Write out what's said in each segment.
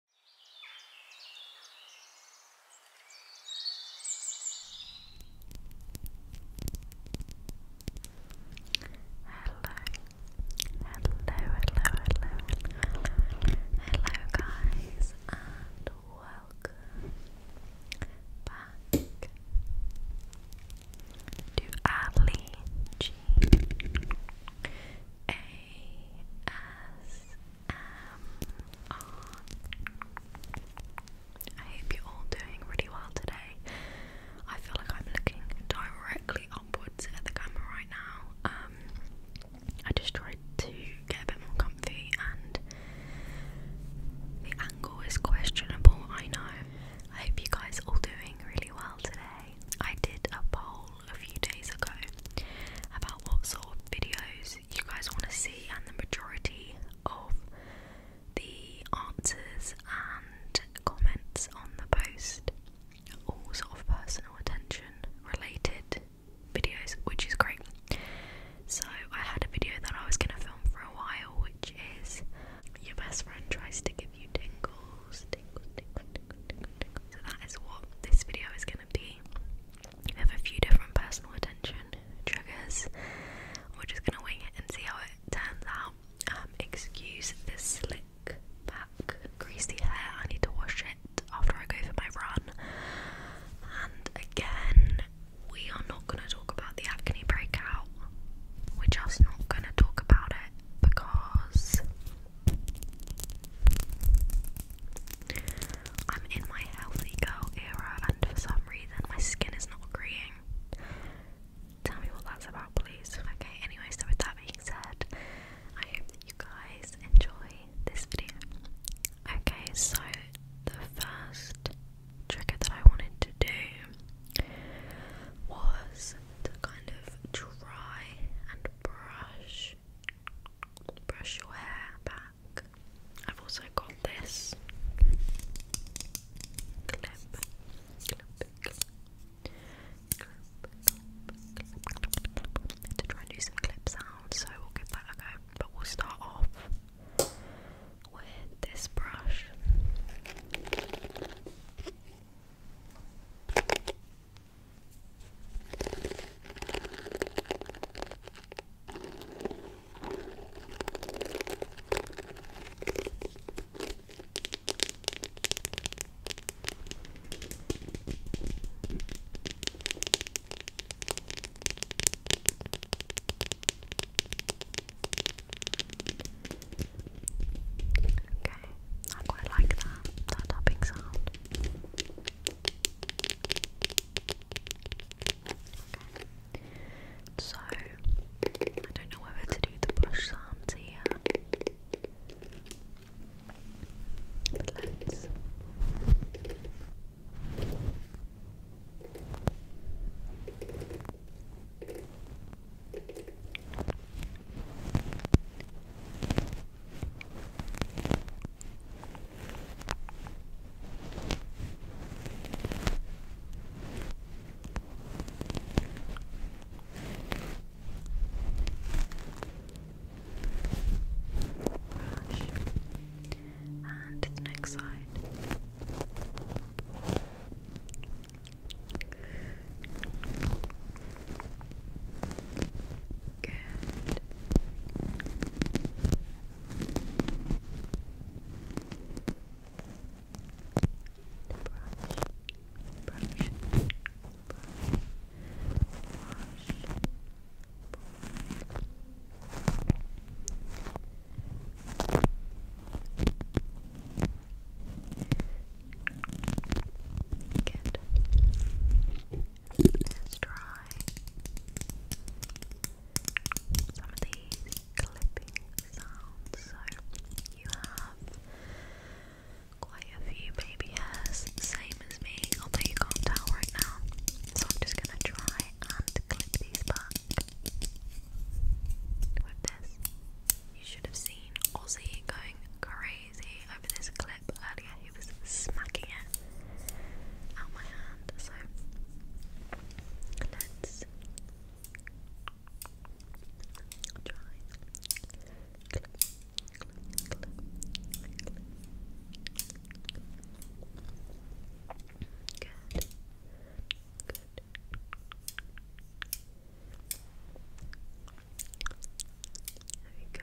hello, hello, hello, hello, hello guys and welcome back to Ali G A S um, I hope you're all doing really well today. I feel like I'm looking directly upwards at the camera right now. Um, I just tried to get a bit more comfy, and the angle is questionable. I know. I hope you guys all doing really well today. I did a poll a few days ago about what sort of videos you guys want to see, and the majority of the answers and comments on the post all sort of personal attention related videos, which is great. So, I had a video that I was going to film for a while, which is your best friend tries to give you tingles, So, that is what this video is going to be. We have a few different personal attention triggers. We're just gonna wing it and see how it turns out. Um, excuse this slick back, greasy hair. I need to wash it after I go for my run. And again, we are not gonna talk about the acne breakout. We're just not gonna talk about it because I'm in my healthy girl era, and for some reason, my skin is not agreeing. Tell me what that's about, please. Okay, anyway, so with that being said, I hope that you guys enjoy this video. Okay, so the first trigger that I wanted to do was to kind of try and brush brush, your hair back. I've also got this clip, to try and do some clip sound. So we'll give that a go. But we'll start off with this brush. Okay, I quite like that, that tapping sound. So I don't know whether to do the brush sounds here. let's Brush. And the next side. Good. Good. Brush, brush, brush, brush. Good is dry. Some of these clipping sounds. So you have quite a few baby same as me, although you can't tell right now. So I'm just gonna try and clip these back with this. You should have seen Aussie going crazy over this clip clip earlier, he was smacking it out my hand. So let's try. Clip, clip, clip, clip. Good. Good. There we go.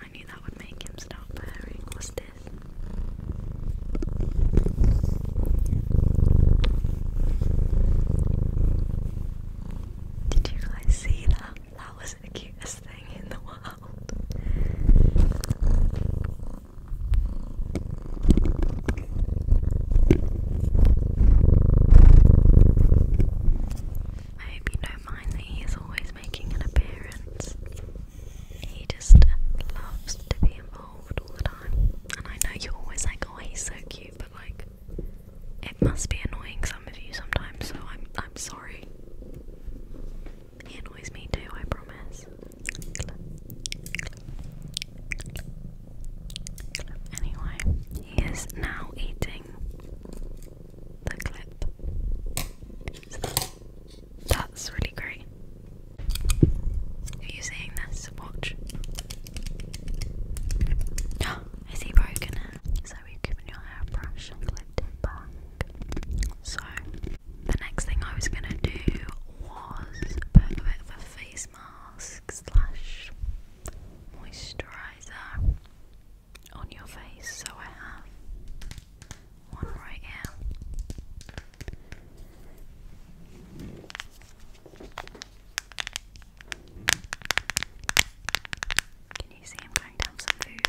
I knew that would make him stop purring. What's this? Did you guys see that? That was the cutest thing in the world. I hope you do is always making an appearance. He just loves to be involved all the time. And I know you're always like, oh, he's so cute, but like, it must be annoying some of you sometimes. So I'm, I'm sorry. He annoys me too. I promise. Anyway, he is now eating the clip. That's really great. Are you seeing this? Watch. Oh, is broken? So we've given your hairbrush and clipped back. So the next thing I was gonna do was put a bit of a face mask slash moisturizer on your face, so I have one right here. Can you see i going down some food?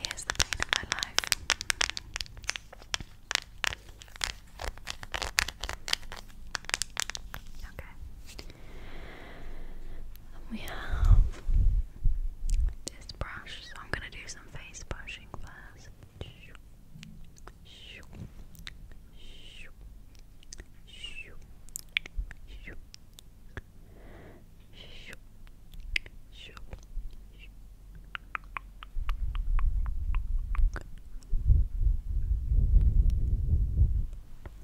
Here's the pain of my life. Okay. And we have this brush, so I'm going to do some face brushing first.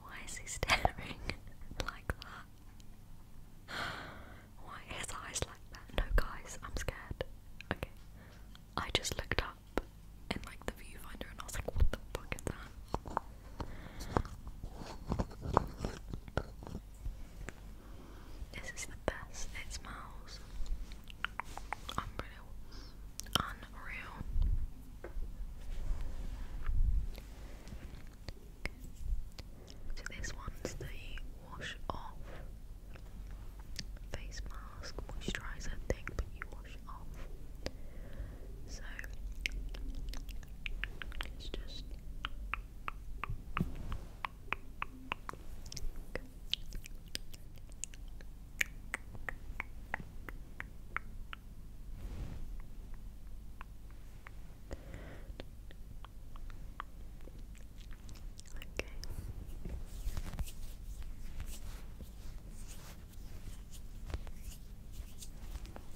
Why is he staring like that? Why his eyes like that? No guys, I'm scared. Okay. I just looked up in like the viewfinder and I was like, what the fuck is that? This is the best. It smells Unreal. So this one's the wash off face mask moisturizer thing, but you wash off. So it's just Okay.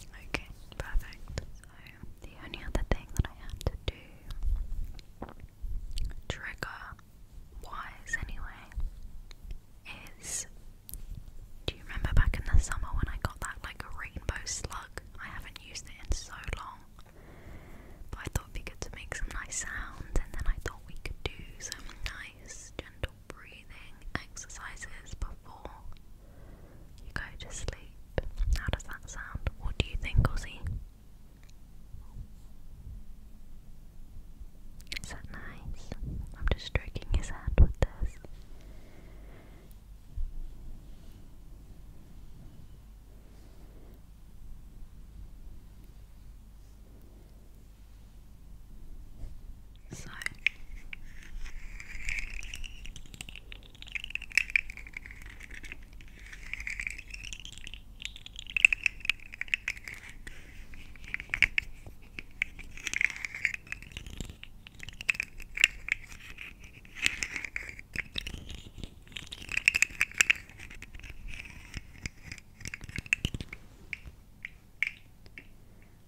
Okay, perfect. So the only other thing that I had to do trigger wise anyway is do you remember back in the summer when I got that like rainbow slug? I haven't used it in so long. But I thought it'd be good to make some nice sounds and then I thought we could do some nice gentle breathing exercises before you go to sleep. How does that sound? What do you think, Ozzy? Is that nice? I'm just stroking his hand with this. So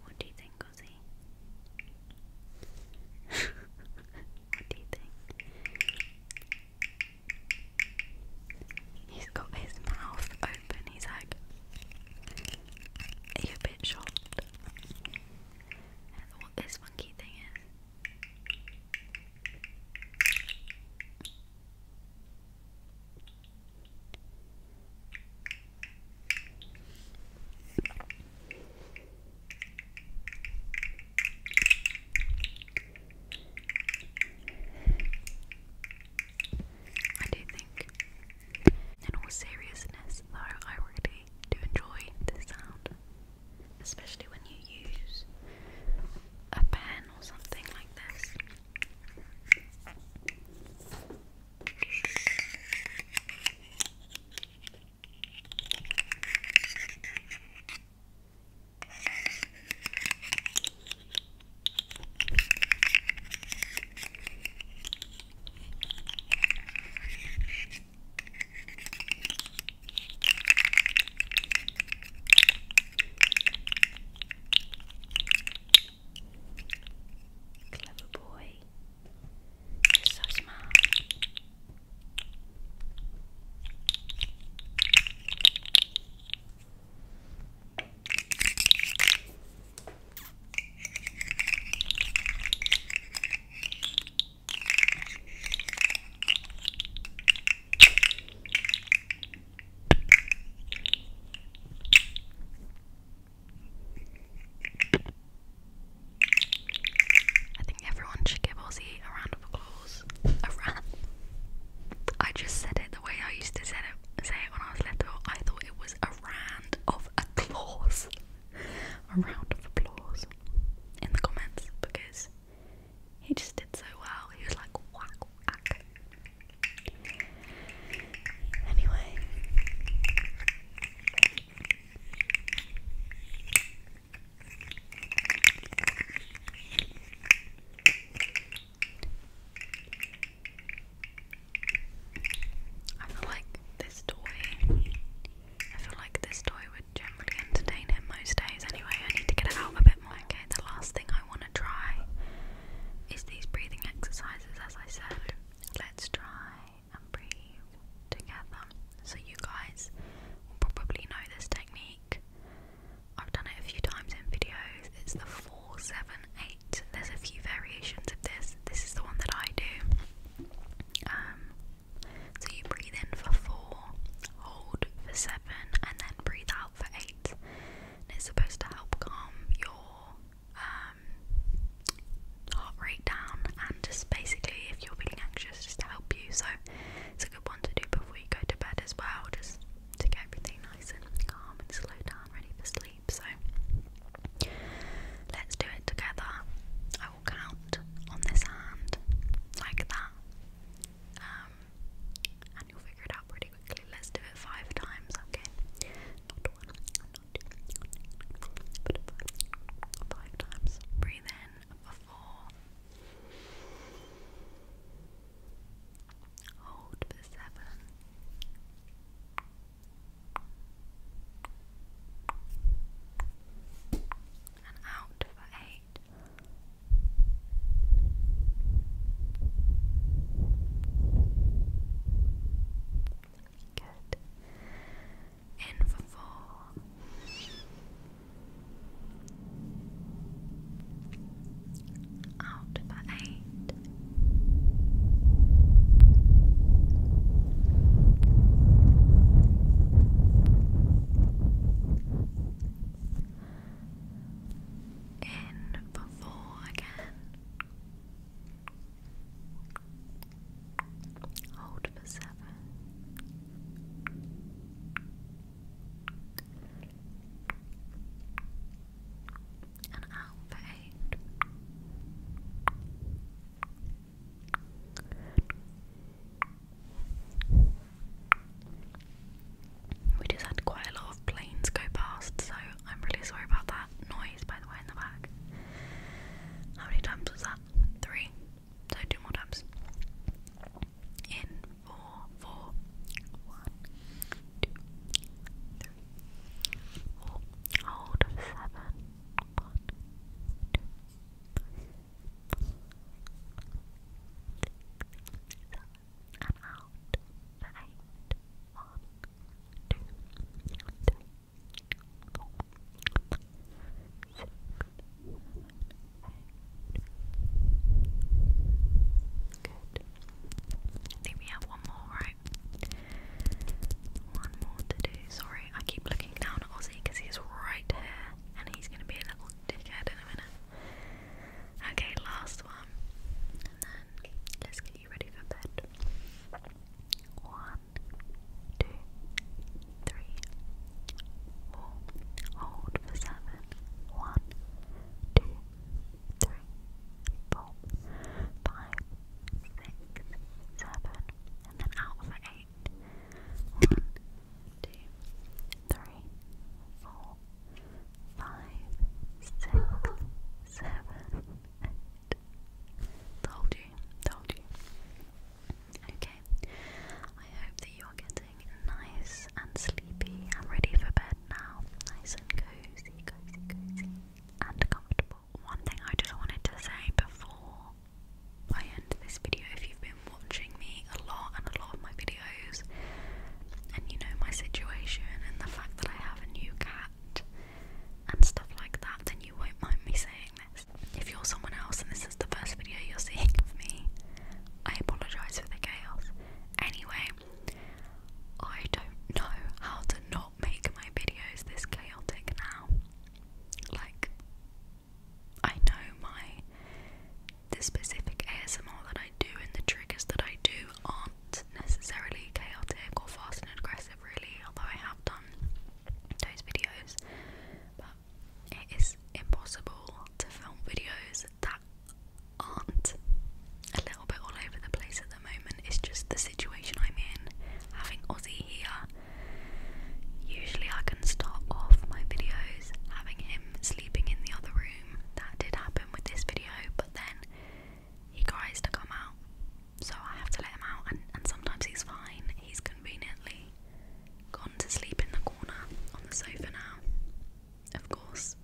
what do you think, Ozzy? what do you think? He's got his mouth and He's like, Are you bit shocked? And what this funky thing is. I do think. In all seriousness, though, I really do enjoy this sound, especially when you use a pen or something like this. Clever boy. You're so smart. I think everyone should give Ozzy a round of applause. A round. I just said it the way I used to say it say it when I was little, I thought it was a round of applause. a round of applause in the comments because he just did so well. He was like Anyway. I feel like this toy. I feel like this toy would generally entertain him most days. Anyway, I need to get it out a bit more. Okay, the last thing I want to try is these breathing exercises. As I said, let's try and breathe together. So you guys probably know this technique. I've done it a few times in videos. It's the four seven eight. There's a few variations of this. This is the one that I do. Um, so you breathe in for four, hold for seven, and then breathe out for eight. And it's supposed to help calm your um, heart rate down and just basically, if you're feeling anxious, just to help you. So it's a good one to do before you go to bed as well, just to get everything nice and calm and slow down, ready for sleep. So let's do it together. I will count on this hand like that. Um, and you'll figure it out pretty quickly. Let's do it five times, okay? Not times. Breathe in for four. Hold for seven and out for eight. Good. In for four out by eight. In for four again. Hold for seven. We just had quite a lot of planes go past, so I'm really sorry about that noise, by the way, in the back. How many times was that? Three. So two more times. In four, four, one, two, three, Hold of seven. One, two, seven. And out for eight. One, two, three, four, six, seven, eight. Good. I think have one more, right? One more to do. Sorry, I keep looking down at Ozzy because he's right here and he's going to be a little dickhead in a minute. Okay, last one. And then let get you ready for bed. One, two, three, four. Hold for seven. One, two, three, four, five, six, seven, and then out for eight. One, two, three, four, five, six, seven, eight. Told you, told you. Okay, I hope that you're getting nice and sleepy and ready for bed now. Nice and cozy, cozy, cozy, and comfortable one thing I just wanted to say before I end this video, if you've been watching me a lot and a lot of my videos, and you know my situation and the fact that I have a new cat and stuff like that, then you won't mind me saying this. If you're someone else and this is the first video you're seeing of me, I apologise for the chaos. Anyway, I don't know how to not make my videos this chaotic now. Like, I know my the specific ASMR that I do and the triggers that I do aren't necessarily chaotic or fast and aggressive, really. Although I have done those videos, but it is impossible to film videos that aren't a little bit all over the place at the moment. It's just the situation I'm in. Having Aussie here, usually I can start off my videos having him sleeping in the other room. That did happen with this video, but then he cries to come out, so I have to let him out. And, and sometimes he's fine. He's conveniently gone to sleep in the corner on the sofa now. Of course,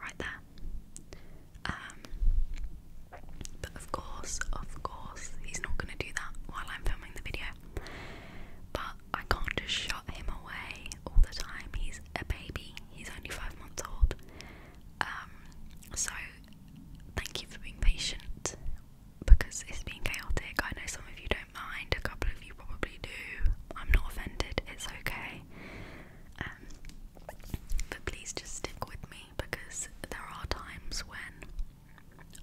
right there. Um, but of course, of course, he's not going to do that while I'm filming the video. But I can't just shut him away all the time. He's a baby, he's only five months old. Um, so thank you for being patient because it's been chaotic. I know some of you don't mind, a couple of you probably do. I'm not offended, it's okay. Um, but please just stick with me because there are times when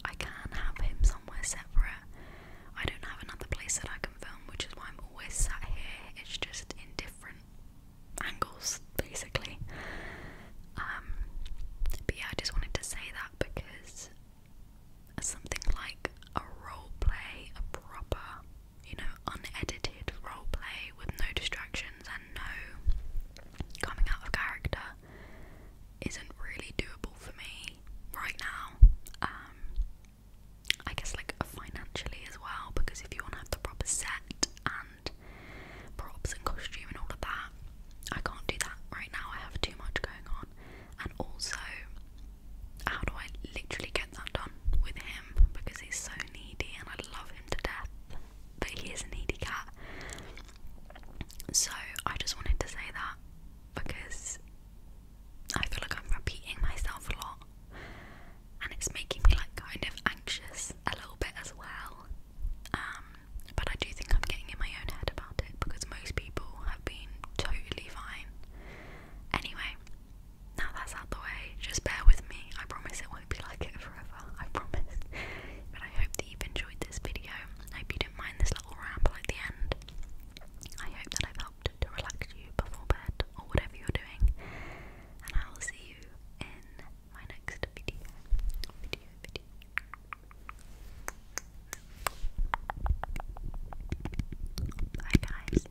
I can have him somewhere separate. I don't have another place that I can film, which is why I'm always sat here. It's just in different angles, basically. Um, but yeah, I just wanted to say that because something like a role play, a proper you know, unedited roleplay with no distractions and no coming out of character isn't really doable for me right now. Um, I guess like financially as well, because if you want to have the proper set and props and costume and all of that, I can't do that right now. I have too much going on, and also, how do I literally get that done with him because he's so needy and I love him to death? but he is a needy cat. So I just wanted to say that because I feel like I'm repeating myself a lot and it's making me like kind of anxious a little bit as well. Um, but I do think I'm getting in my own head about it because most people have been totally fine. Anyway, now that's out the way, just bear with me. I promise it won't be like it forever, I promise. But I hope that you've enjoyed this video. I hope you didn't mind this little ramble at the end. I hope that I've helped to relax you before bed or whatever you're doing. And I will see you in my next video. Bye, guys.